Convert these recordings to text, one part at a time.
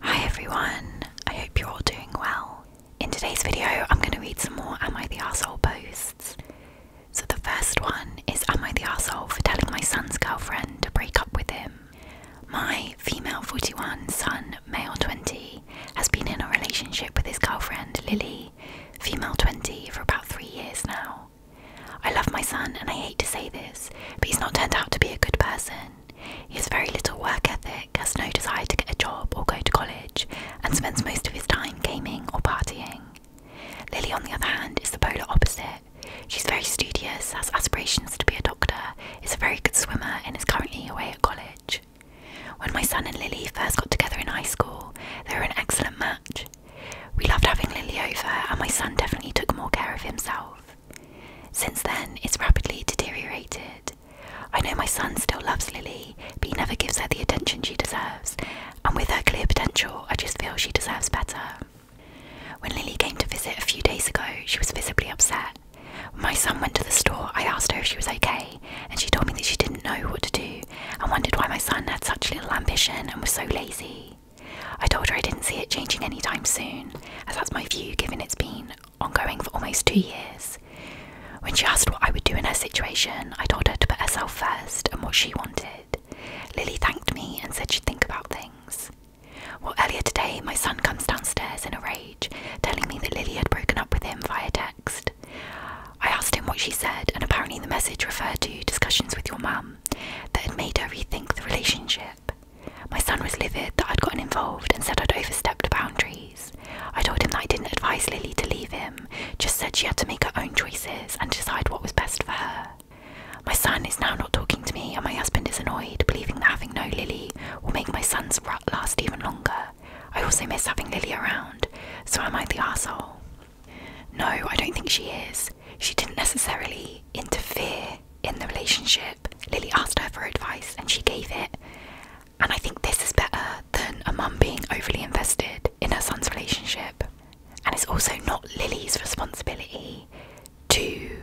Hi everyone, I hope you're all doing well. In today's video, I'm going to read some more Am I the Asshole posts. So the first one is Am I the Asshole for telling my son's girlfriend to break up with him? My female 41 son, male 20, has been in a relationship with his girlfriend Lily, female 20, for about three years now. I love my son and I hate to say this, but he's not turned out to be a good person. He has very little work ethic, has no desire to get a job or go to college, and spends most of his time gaming or partying. Lily, on the other hand, is the polar opposite. She's very studious, has aspirations to be a doctor, is a very good swimmer, and is currently away at college. When my son and Lily first got together in high school, they were an excellent match. We loved having Lily over, and my son definitely took more care of himself. Since then, it's rapidly deteriorated. I know my son still loves Lily, but he never gives her the attention she deserves, and with her clear potential, I just feel she deserves better. When Lily came to visit a few days ago, she was visibly upset. When my son went to the store, I asked her if she was okay, and she told me that she didn't know what to do and wondered why my son had such little ambition and was so lazy. I told her I didn't see it changing anytime soon, as that's my view given it's been ongoing for almost two years. When she asked what I would do in her situation, I told her to put herself first and what she wanted. Lily thanked me and said she'd think about things. Well, earlier today, my son comes downstairs in a rage, telling me that Lily had broken up with him via text. I asked him what she said, and apparently the message referred to discussions with your mum that had made her rethink the relationship. My son was livid that I'd gotten involved and said I'd overstepped boundaries. I told him that I didn't advise Lily to leave him, just said she had to make her own choices and decide what was best for her. My son is now not talking to me, and my husband is annoyed, believing that having no Lily will make my son's rut last even longer. I also miss having Lily around, so am I the asshole? No, I don't think she is. She didn't necessarily interfere in the relationship. Lily asked her for advice and she gave it. And I think this is better than a mum being overly invested in her son's relationship. And it's also not Lily's responsibility to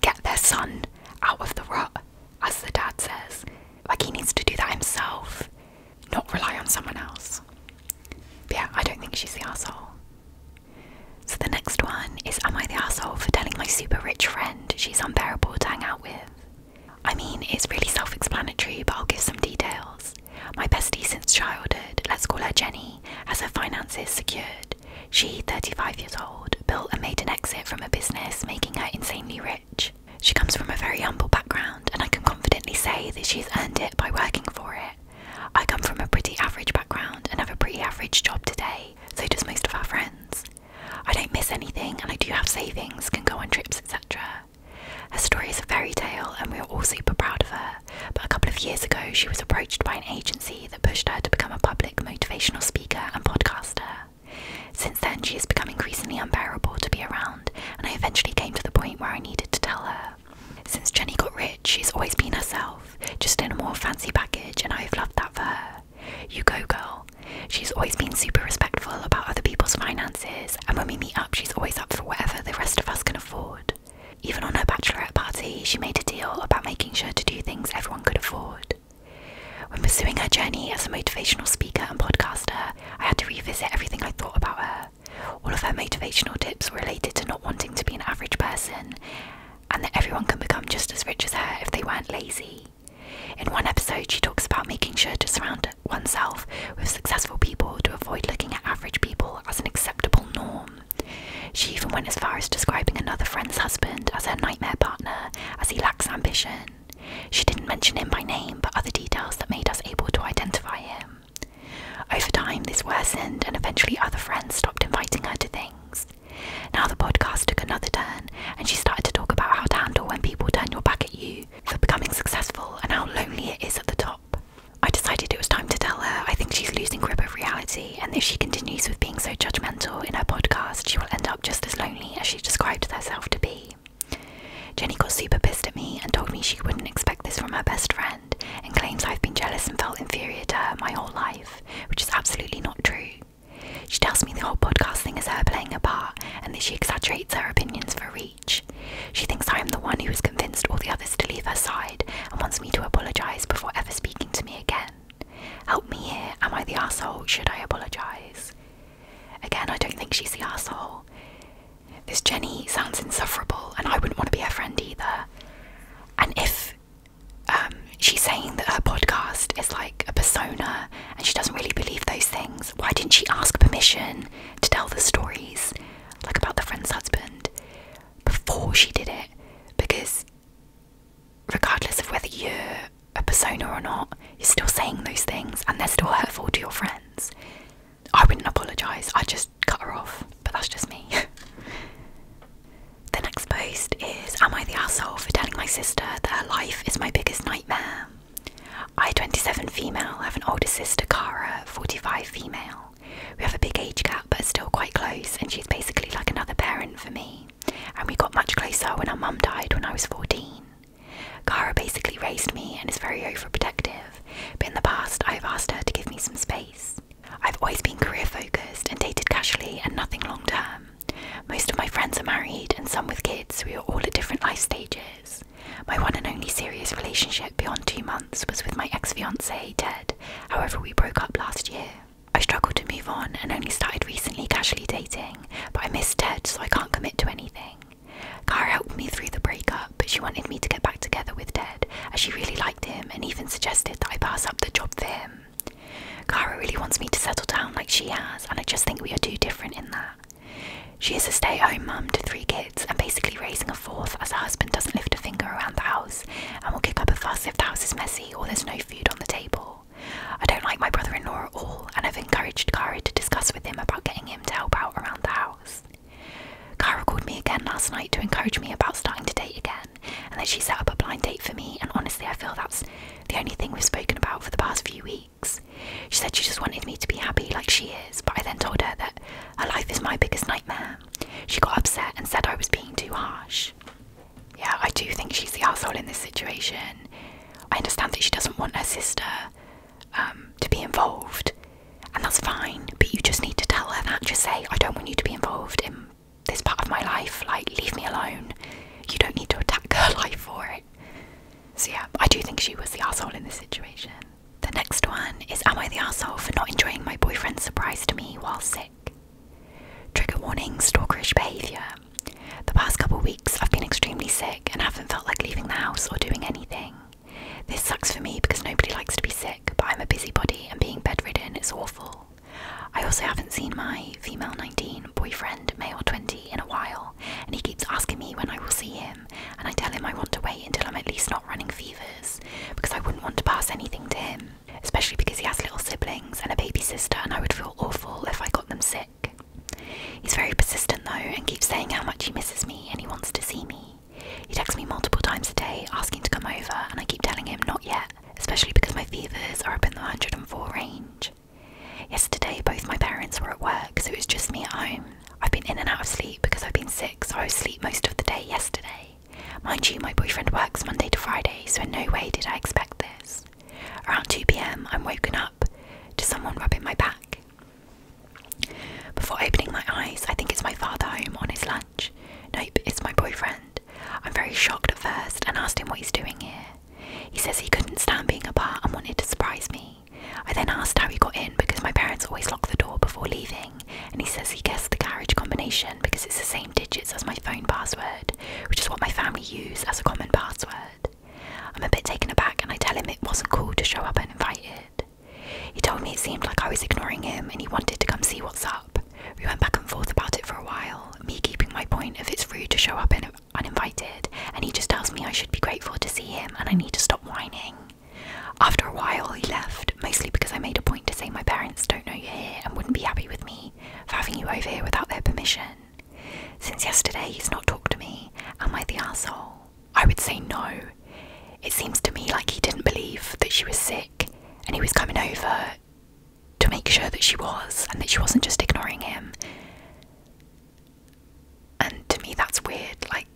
get their son out of the rut, as the dad says. Like, he needs to do that himself, not rely on someone else. yeah, I don't think she's the asshole. So the next one is Am I the asshole for telling my super rich friend she's unbearable to hang out with? I mean, it's really self explanatory, but I'll give some details. My bestie since childhood, let's call her Jenny, has her finances secured. She, 35 years old, built and made an exit from a business, making her insanely rich. She comes from a very humble background, and I can confidently say that she's earned it by working for it. I come from a pretty average background and have a pretty average job today, so does most of our friends. I don't miss anything and I do have savings, can go on trips, etc. Her story is a fairy tale and we are all super proud of her, but a couple of years ago she was approached by an agency that pushed her to become a public motivational speaker and podcaster. Since then, she has become increasingly unbearable to be around, and I eventually came to the point where I needed to tell her. Since Jenny got rid She's always been herself, just in a more fancy package, and I've loved that for her. You go, girl. She's always been super respectful about other people's finances, and when we meet up, she's always up for whatever the rest of us can afford. Even on her bachelorette party, she made a deal about making sure to do things everyone could afford. When pursuing her journey as a motivational speaker and podcaster, I had to revisit everything I thought about her. All of her motivational tips were related to not wanting to be an average person and that everyone can become just as rich as her if they weren't lazy. In one episode, she talks about making sure to surround oneself with successful people to avoid looking at average people as an acceptable norm. She even went as far as describing another friend's husband as her nightmare partner, as he lacks ambition. She didn't mention him by name, but other details that made us able to identify him. Over time, this worsened, and eventually, other friends stopped inviting her to things. Now the podcast took another turn, and she started to talk about how to handle when people turn your back at you for becoming successful and how lonely it is at the top. I decided it was time to tell her I think she's losing grip of reality, and if she continues with being so judgmental in her podcast, she will end up just as lonely as she described herself to be. Jenny got super pissed at me and told me she wouldn't expect this from her best friend, and claims I've been jealous and felt inferior to her my whole life which is absolutely not true. She tells me the whole podcast thing is her playing a part and that she exaggerates her opinions for reach. She thinks I am the one who has convinced all the others to leave her side and wants me to apologise before ever speaking to me again. Help me here, am I the asshole? Should I apologise? Again, I don't think she's the asshole. This Jenny sounds insufferable and I wouldn't want to be her friend either. And if um, she's saying that her podcast is like a persona and she doesn't really believe those things. Why didn't she ask permission to tell the stories, like about the friend's husband, before she did it? Because regardless of whether you're a persona or not, you're still saying those things and they're still hurtful to your friends. I wouldn't apologise, I'd just cut her off, but that's just me. The next post is Am I the asshole for telling my sister that her life is my biggest nightmare? I, 27 female, have an older sister, Cara, 45 female. We have a big age gap but still quite close, and she's basically like another parent for me. And we got much closer when our mum died when I was 14. Cara basically raised me and is very overprotective, but in the past I have asked her to give me some space. I've always been career focused and dated casually and nothing long term. Most of my friends are married and some with kids, we are all at different life stages. My one and only serious relationship beyond two months was with my ex fiance, Ted, however, we broke up last year. I struggled to move on and only started recently casually dating, but I miss Ted, so I can't commit to anything. Kara helped me through the breakup, but she wanted me to get back together with Ted, as she really liked him and even suggested that I pass up the job for him. Kara really wants me to settle down like she has, and I just think we are too different in that. She is a stay at home mum to three kids and basically raising a fourth as her husband doesn't lift a finger around the house and will kick up a fuss if the house is messy or there's no food on the table. I don't like my brother in law at all, and I've encouraged Kara to discuss with him about getting him to help out around the house. Kara called me again last night to encourage me about starting to date again, and then she set up a blind date for me. And honestly, I feel that's the only thing we've spoken about for the past few weeks. She said she just wanted me to be happy like she is, but I then told her that her life is my biggest nightmare. She got upset and said I was being too harsh. Yeah, I do think she's the asshole in this situation. I understand that she doesn't want her sister um, to be involved, and that's fine, but you just need to tell her that. Just say, I don't want you to be involved in this part of my life. Like, leave me alone. You don't need to attack her life for it. So, yeah, I do think she was the asshole in this situation. The next one is Am I the asshole for not enjoying my boyfriend's surprise to me while sick? Trigger warning stalkerish behaviour. The past couple weeks I've been extremely sick and haven't felt like leaving the house or doing anything. This sucks for me because nobody likes to be sick, but I'm a busybody and being bedridden is awful. I also haven't seen my female 19 boyfriend, male 20, in a while, and he keeps asking me when I will see him, and I tell him I want to wait until I'm at least not running fevers, because I wouldn't want to pass anything to him, especially because he has little siblings and a baby sister, and I would feel awful if I got them sick. He's very persistent though, and keeps saying how much he misses me and he wants to see me. He texts me multiple times a day asking to come over, and I keep telling him not yet especially because my fevers are up in the 104 range. Yesterday, both my parents were at work, so it was just me at home. I've been in and out of sleep because I've been sick, so I was asleep most of the day yesterday. Mind you, my boyfriend works Monday to Friday, so in no way did I expect this. Around 2pm, I'm woken up to someone rubbing my back. Before opening my eyes, I think it's my father home on his lunch. Nope, it's my boyfriend. I'm very shocked at first and asked him what he's doing here. He says he couldn't stand being apart and wanted to surprise me. I then asked how he got in because my parents always lock the door before leaving, and he says he guessed the carriage combination because it's the same digits as my phone password, which is what my family use as a common password. I'm a bit taken aback and I tell him it wasn't cool to show up uninvited. He told me it seemed like I was ignoring him and he wanted to come see what's up. We went back and forth about it for a while, me keeping my point of it's rude to show up uninvited, and he just tells me I should be grateful to see him and I need to stop whining. After a while, he left, mostly because I made a point to say my parents don't know you're here and wouldn't be happy with me for having you over here without their permission. Since yesterday, he's not talked to me. Am I the asshole? I would say no. It seems to me like he didn't believe that she was sick and he was coming over to make sure that she was and that she wasn't just ignoring him. And to me, that's weird. Like,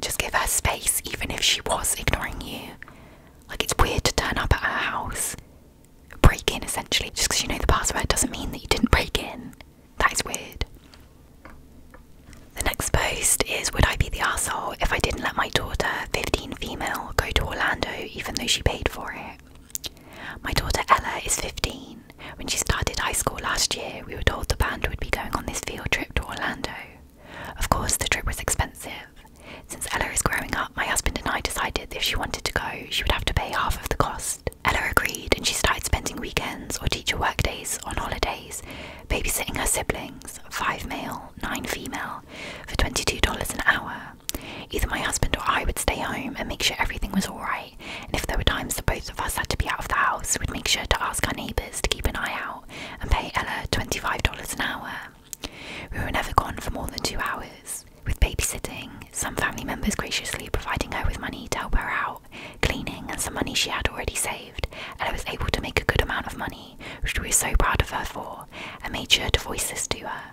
just give her space, even if she was ignoring you. Like, it's weird to turn up at her house, break in essentially, just because you know the password doesn't mean that you didn't break in. That is weird. The next post is Would I be the asshole if I didn't let my daughter, female go to Orlando even though she paid for it. My daughter Ella is 15. When she started high school last year, we were told the band would be going on this field trip to Orlando. Of course, the trip was expensive. Since Ella is growing up, my husband and I decided if she wanted to go, she would have to pay half of the cost. Ella agreed and she started spending weekends or teacher work days on holidays, babysitting her siblings, five male nine female, for $22 an hour. Either my husband or I would stay home and make sure everything was alright, and if there were times that both of us had to be out of the house, we'd make sure to ask our neighbours to keep an eye out and pay Ella $25 an hour. We were never gone for more than two hours, with babysitting, some family members graciously providing her with money to help her out, cleaning, and some money she had already saved. Ella was able to make a good amount of money, which we were so proud of her for, for and made sure to voice this to her.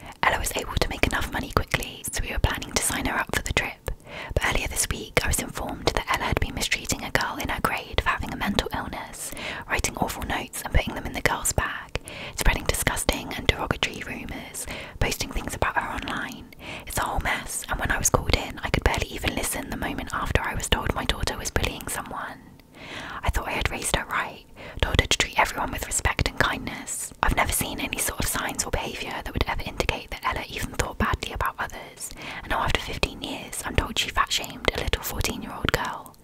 Uh, Ella was able to make enough money quickly, so we were planning to sign her up for the trip. But earlier this week, I was informed that Ella had been mistreating a girl in her grade for having a mental illness, writing awful notes and putting them in the girl's bag, spreading disgusting and derogatory rumours, posting things about her online. It's a whole mess, and when I was called in, I could barely even listen the moment after I was told my daughter was bullying someone. I thought I had raised her right, told her to treat everyone with respect and kindness. I've never seen any sort of signs or behaviour that would ever indicate that Ella even thought badly about others, and now after 15 years, I'm told she fat shamed a little 14 year old girl.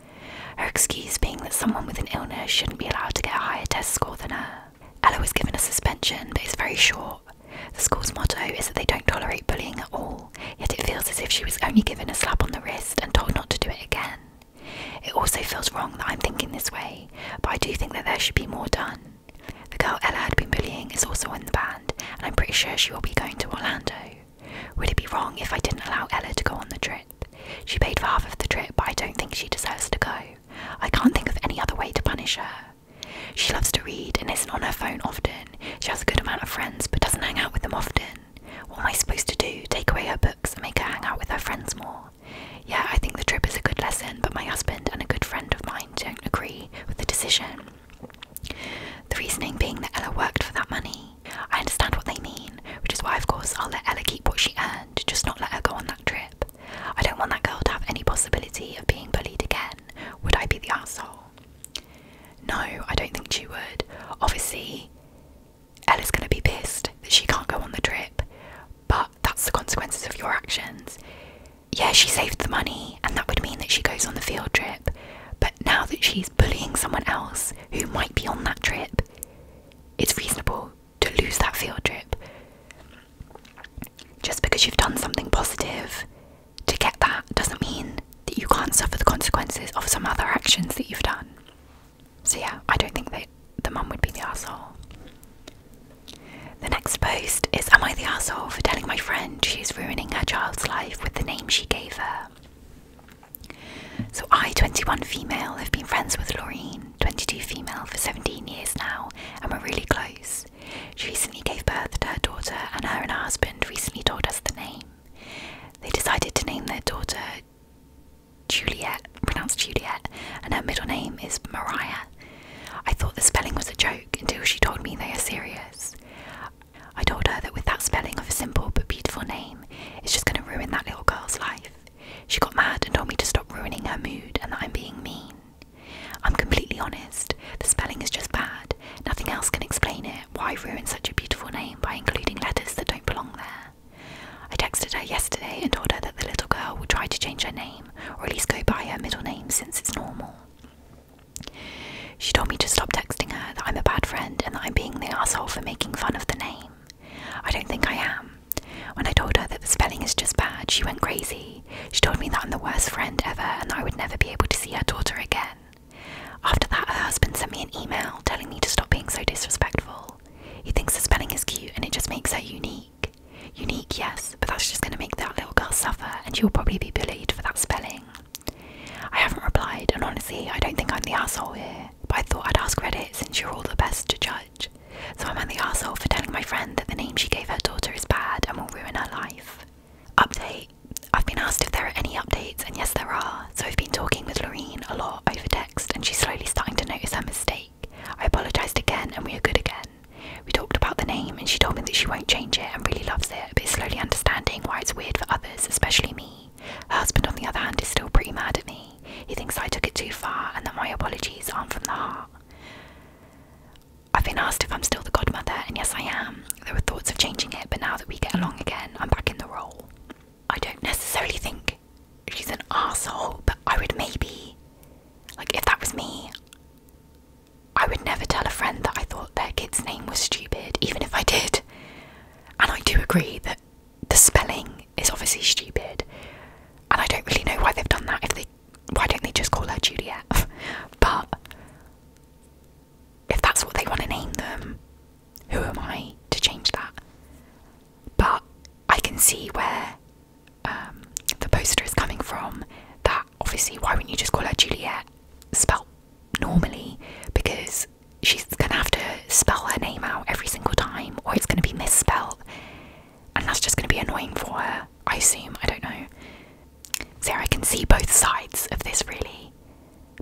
Her excuse being that someone with an illness shouldn't be allowed to get a higher test score than her. Ella was given a suspension, but it's very short. The school's motto is that they don't tolerate bullying at all, yet it feels as if she was only given a slap on the wrist and told not to do it again. It also feels wrong that I'm thinking this way, but I do think that there should be more done. The girl Ella had been bullying is also in the band, and I'm pretty sure she will be going to Orlando. Would it be wrong if I didn't allow Ella to go on the trip? She paid for half of the trip, but I don't think she deserves to go. I can't think of any other way to punish her. She loves to read and isn't on her phone often. She has a good amount of friends but doesn't hang out with them often. What am I supposed to do? Take away her books and make her hang out with her friends more? Yeah, I think the trip is a good lesson, but my husband and a good friend of mine don't agree with the decision. The reasoning being that Ella worked for that money. I understand what they mean, which is why, of course, I'll let Ella keep what she earned, just not let her go on that trip. I don't want that girl to have any possibility of being bullied again. Would I be the asshole? No, I don't think she would. Obviously, Ella's going to be pissed that she can't go on the trip, but that's the consequences of your actions. Yeah, she saved the money, and that would mean that she goes on the field trip, but now that she's bullying someone else who might be on that trip, it's reasonable to lose that field trip. Just because you've done something positive to get that doesn't mean that you can't suffer the consequences of some other actions that you've done. So yeah, I don't think that the mum would be the asshole. The next post is Am I the asshole for telling my friend she's ruining her child's life with the name she gave her? So I, 21 female, have been friends with Laureen, 22 female, for 17 years now, and we're really close. She recently gave birth to her daughter, and her and her husband recently told us the name. They decided to name their daughter Juliet, pronounced Juliet, and her middle name is Maria. I thought the spelling was a joke until she told me they are serious. I told her that with that spelling of a simple but beautiful name, it's just going to ruin that little girl's life. She got mad and told me to stop ruining her mood and that I'm being mean. I'm completely honest, the spelling is just bad, nothing else can explain it, why ruin such a beautiful name by including letters that don't belong there? I texted her yesterday and told her that the little girl will try to change her name, or at least go by her middle name since it's normal. She told me to stop texting her that I'm a bad friend and that I'm being the asshole for making fun of the name. I don't think I am. When I told her that the spelling is just bad, she went crazy. She told me that I'm the worst friend ever and that I would never be able to see her daughter again. After that, her husband sent me an email telling me to stop being so disrespectful. He thinks the spelling is cute and it just makes her unique. Unique, yes, but that's just going to make that little girl suffer and she'll probably be bullied for that spelling. I haven't replied, and honestly, I don't think I'm the asshole here, but I thought I'd ask Reddit since you're all the best to judge. So i am the asshole for telling my friend that the name she gave her daughter is bad and will ruin her life? Update I've been asked if there are any updates, and yes, there are. So I've been talking with Loreen a lot over text, and she's slowly starting to notice her mistake. I apologised again, and we are good again. We talked about the name, and she told me that she won't change it and really loves it, but is slowly understanding why it's weird for others, especially me. Her husband, on the other hand, is still pretty mad at me. He thinks I took it too far and that my apologies aren't from the heart. I've been asked if I'm still the godmother, and yes, I am. There were thoughts of changing it, but now that we get along again, I'm back in the role. I don't necessarily think she's an asshole, but I would maybe, like, if that was me, I would never tell a friend that I thought their kid's name was stupid, even if I did. And I do agree that the spelling is obviously stupid, and I don't really know why they've done that. If they, why don't they just call her Juliet? but if that's what they want to name them, who am I to change that? But I can see where um, the poster is coming from. That obviously, why wouldn't you just call her Juliet, spelt normally? Because she's gonna have to spell her name out every single time, or it's gonna be misspelled, and that's just gonna be annoying for her. I assume. I don't know. Sarah can see both sides of this really.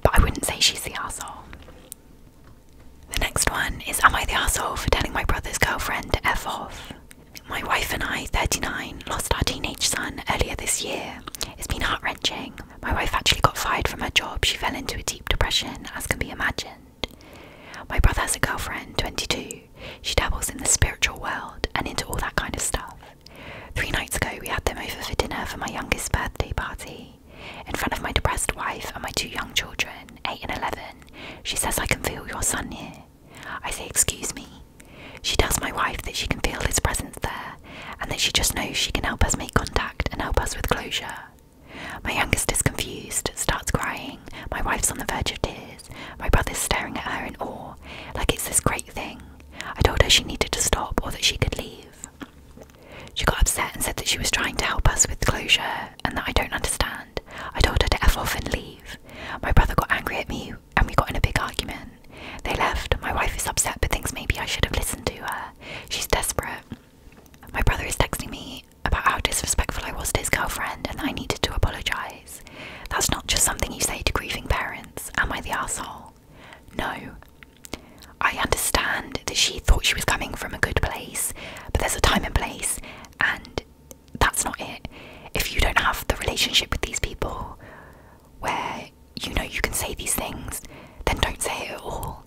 But I wouldn't say she's the asshole. The next one is Am I the asshole for telling my brother's girlfriend to F off? My wife and I, 39, lost our teenage son earlier this year. It's been heart wrenching. My wife actually got fired from her job. She fell into a deep depression, as can be imagined. My brother has a girlfriend, 22. She dabbles in the spiritual world and into all that kind of stuff. Three nights ago, we had them over for dinner for my youngest birthday party. In front of my depressed wife and my two young children, 8 and 11, she says, I can feel your son here. I say, Excuse me. She tells my wife that she can feel his presence there and that she just knows she can help us make contact and help us with closure. My youngest is confused, starts crying, my wife's on the verge of tears, my brother's staring at her in awe, like it's this great thing. I told her she needed to stop or that she could leave. She got upset and said that she was trying to help us with closure and that I don't understand. I told her to F off and leave. My brother got angry at me and we got in a big argument. They left. My wife is upset but thinks maybe I should have listened to her. She's desperate. My brother is texting me about how disrespectful I was to his girlfriend and I needed to apologise. That's not just something you say to grieving parents. Am I the asshole? No. I understand that she thought she was coming from a good place, but there's a time and place, and that's not it. If you don't have the relationship with these people where you know you can say these things, then don't say it at all.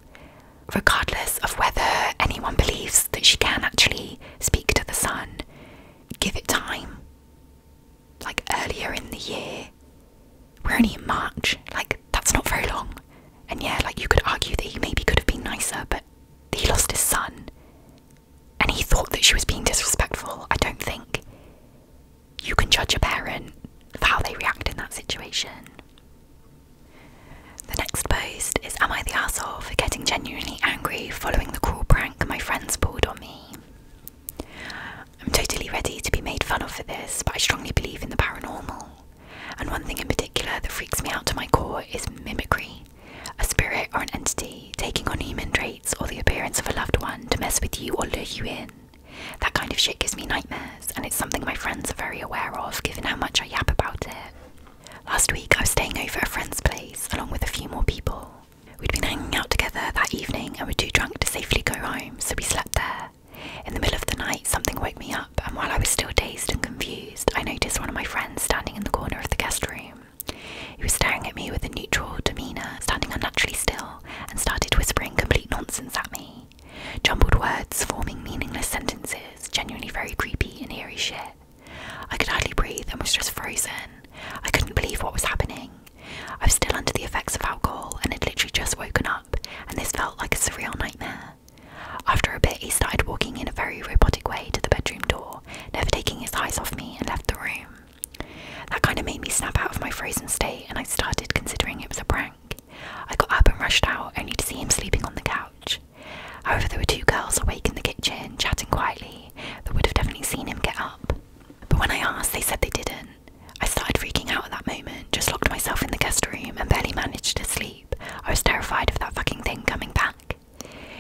Regardless of whether anyone believes that she can actually speak to the sun, give it time like earlier in the year. We're only in March, like that's not very long. And yeah, like you could argue that he maybe could have been nicer, but he lost his son. And he thought that she was being disrespectful. I don't think you can judge a parent for how they react in that situation. The next post is Am I the asshole for getting genuinely angry following the cruel prank my friends pulled on me? I'm totally ready to be made fun of for this, but I strongly believe in the paranormal. And one thing in particular that freaks me out to my core is mimicry a spirit or an entity taking on human traits or the appearance of a loved one to mess with you or lure you in. That kind of shit gives me nightmares, and it's something my friends are very aware of given how much I yap about it. Last week, I was staying over a friend's place along with a few more people. We'd been hanging out together that evening and were too drunk to safely go out so we slept there. In the middle of the night, something woke me up, and while I was still dazed and confused, I noticed one of my friends standing in the corner of the guest room. He was staring at me with a neutral demeanour, standing unnaturally still, and started whispering complete nonsense at me. Jumbled words, forming meaningless sentences, genuinely very creepy and eerie shit. I could hardly breathe and was just frozen. I couldn't believe what was happening. I was still under the effects of alcohol and had literally just woken up, and this felt like a surreal nightmare. After a bit, he started walking in a very robotic way to the bedroom door, never taking his eyes off me, and left the room. That kind of made me snap out of my frozen state, and I started considering it was a prank. I got up and rushed out, only to see him sleeping on the couch. However, there were two girls awake in the kitchen, chatting quietly, They would have definitely seen him get up. But when I asked, they said they didn't. I started freaking out at that moment, just locked myself in the guest room and barely managed to sleep. I was terrified of that fucking thing coming back.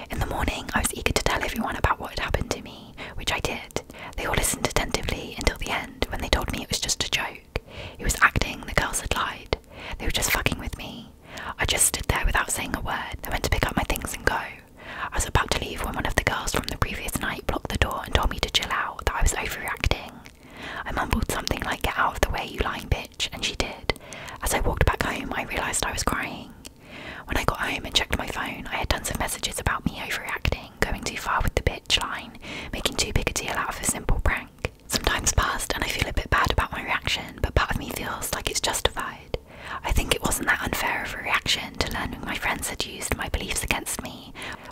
In the morning, I was eager to tell everyone about what had happened to me, which I did. They all listened attentively until the end when they told me it was just a joke. He was acting, the girls had lied. They were just fucking with me. I just stood there without saying a word. I went to pick up my things and go. I was about to leave when one of the girls from the previous night blocked the door and told me to chill out, that I was overreacting. I mumbled something like, Get out of the way, you lying bitch, and she did. As I walked back home, I realised I was crying. When I got home and checked my phone, I had tons of messages about me overreacting, going too far with the bitch line, making too big a deal out of a simple prank. Some time's passed and I feel a bit bad about my reaction, but part of me feels like it's justified. I think it wasn't that unfair of a reaction to learning my friends had used my beliefs against me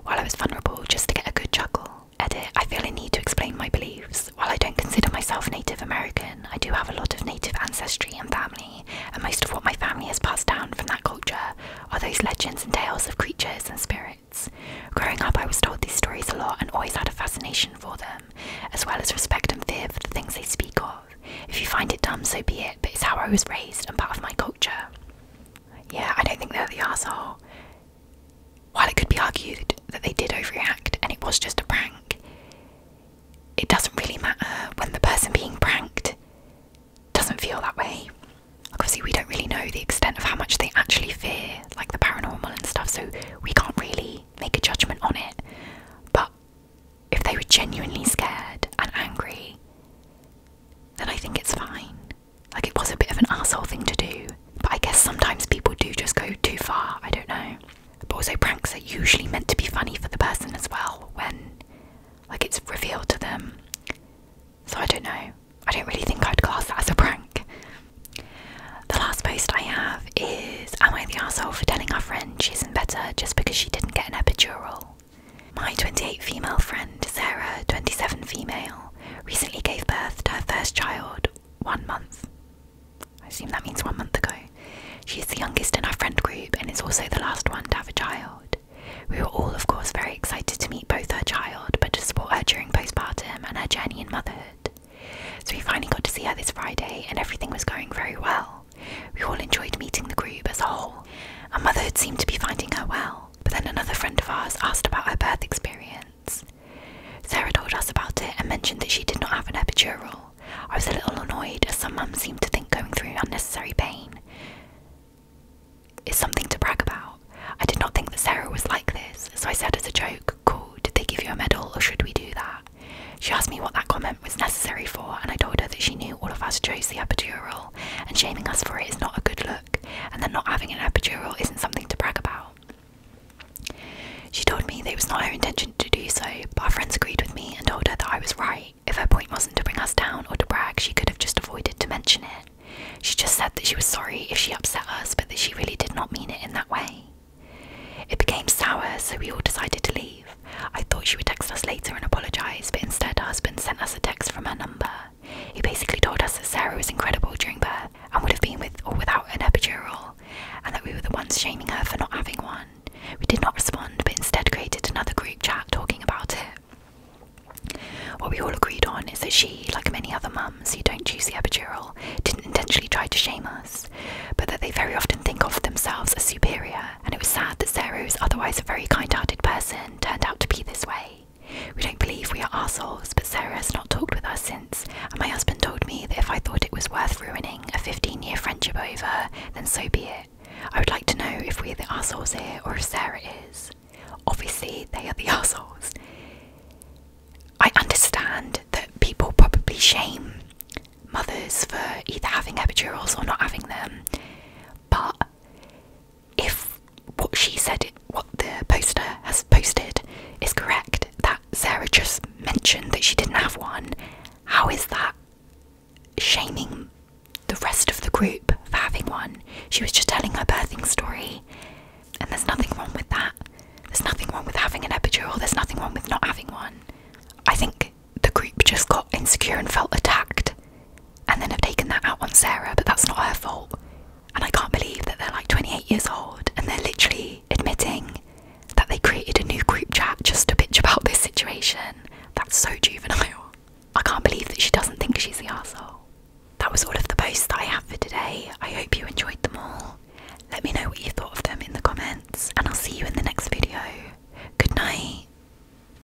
while I was vulnerable just to get a good chuckle. Edit, I feel a need to explain my beliefs. While I don't consider myself Native American, I do have a lot of Native ancestry and family, and most of what my family has passed down from that culture are those legends and tales of creatures and spirits. Growing up, I was told these stories a lot and always had a fascination for them, as well as respect and fear for the things they speak of. If you find it dumb, so be it, but it's how I was raised and part of my culture. Yeah, I don't think they're the asshole. While it could be argued that they did overreact and it was just a prank, it doesn't really matter when the person being pranked doesn't feel that way. obviously, we don't really know the extent of how much they actually fear, like the paranormal and stuff, so we can't really make a judgment on it. But if they were genuinely scared and angry, then I think it's fine. Like it was a bit of an asshole thing to do, but I guess sometimes people do just go too far. I don't know. But also, pranks are usually meant to be funny for the person as well when, like, it's revealed to them. So I don't know. I don't really think I'd class that as a prank. The last post I have is Am I the asshole for telling our friend she isn't better just because she didn't get an epidural? My 28 female friend, Sarah, 27 female, recently gave birth to her first child one month. I assume that means one month ago. She is the youngest in our friend group and is also the last one to have a child. We were all, of course, very excited to meet both her child, but to support her during postpartum and her journey in motherhood. So we finally got to see her this Friday, and everything was going very well. We all enjoyed meeting the group as a whole, and motherhood seemed to be finding her well. But then another friend of ours asked about her birth experience. Sarah told us about it and mentioned that she did not have an epidural. I was a little annoyed as some mums seem to think going through unnecessary pain is something to brag about. I did not think that Sarah was like this, so I said as a joke, Cool, did they give you a medal or should we do that? She asked me what that comment was necessary for, and I told her that she knew all of us chose the epidural and shaming us for it is not a good look, and then not having an epidural isn't something to brag about. She told me that it was not her intention to do so, but our friends agreed with me and told her that I was right. If her point wasn't to bring us down or to brag, she could have just avoided to mention it. She just said that she was sorry if she upset us, but that she really did not mean it in that way. It became sour, so we all decided to leave. I thought she would text us later and apologise, but instead her husband sent us a text from her number he basically told us that Sarah was incredible during birth and would have been with or without an epidural, and that we were the ones shaming her for not having one. We did not respond, but instead created another group chat talking about it. What we all agreed on is that she, like many other mums who don't choose the epidural, didn't intentionally try to shame us, but that they very often think of themselves as superior and it was sad that Sarah, who's otherwise a very kind hearted person, turned out to be this way. We don't believe we are assholes, but Sarah has not talked with us since, and my husband told me that if I thought it was worth ruining a 15 year friendship over, then so be it. I would like to know if we're the assholes here or if Sarah is. Obviously, they are the assholes. I understand that people probably shame mothers for either having epidurals or not having them, but if what she said, what the poster has posted, is correct, that Sarah just mentioned that she didn't have one, how is that shaming the rest of the group for having one? She was just telling her birthing story, and there's nothing wrong with that. There's nothing wrong with having an epidural, there's nothing wrong with not having one. I think the group just got insecure and felt attacked and then have taken that out on Sarah, but that's not her fault. And I can't believe that they're like 28 years old and they're literally admitting that they created a new group chat just to bitch about this situation. That's so juvenile. I can't believe that she doesn't think she's the asshole. That was all of the posts that I have for today. I hope you enjoyed them all. Let me know what you thought of them in the comments, and I'll see you in the next video. Good night.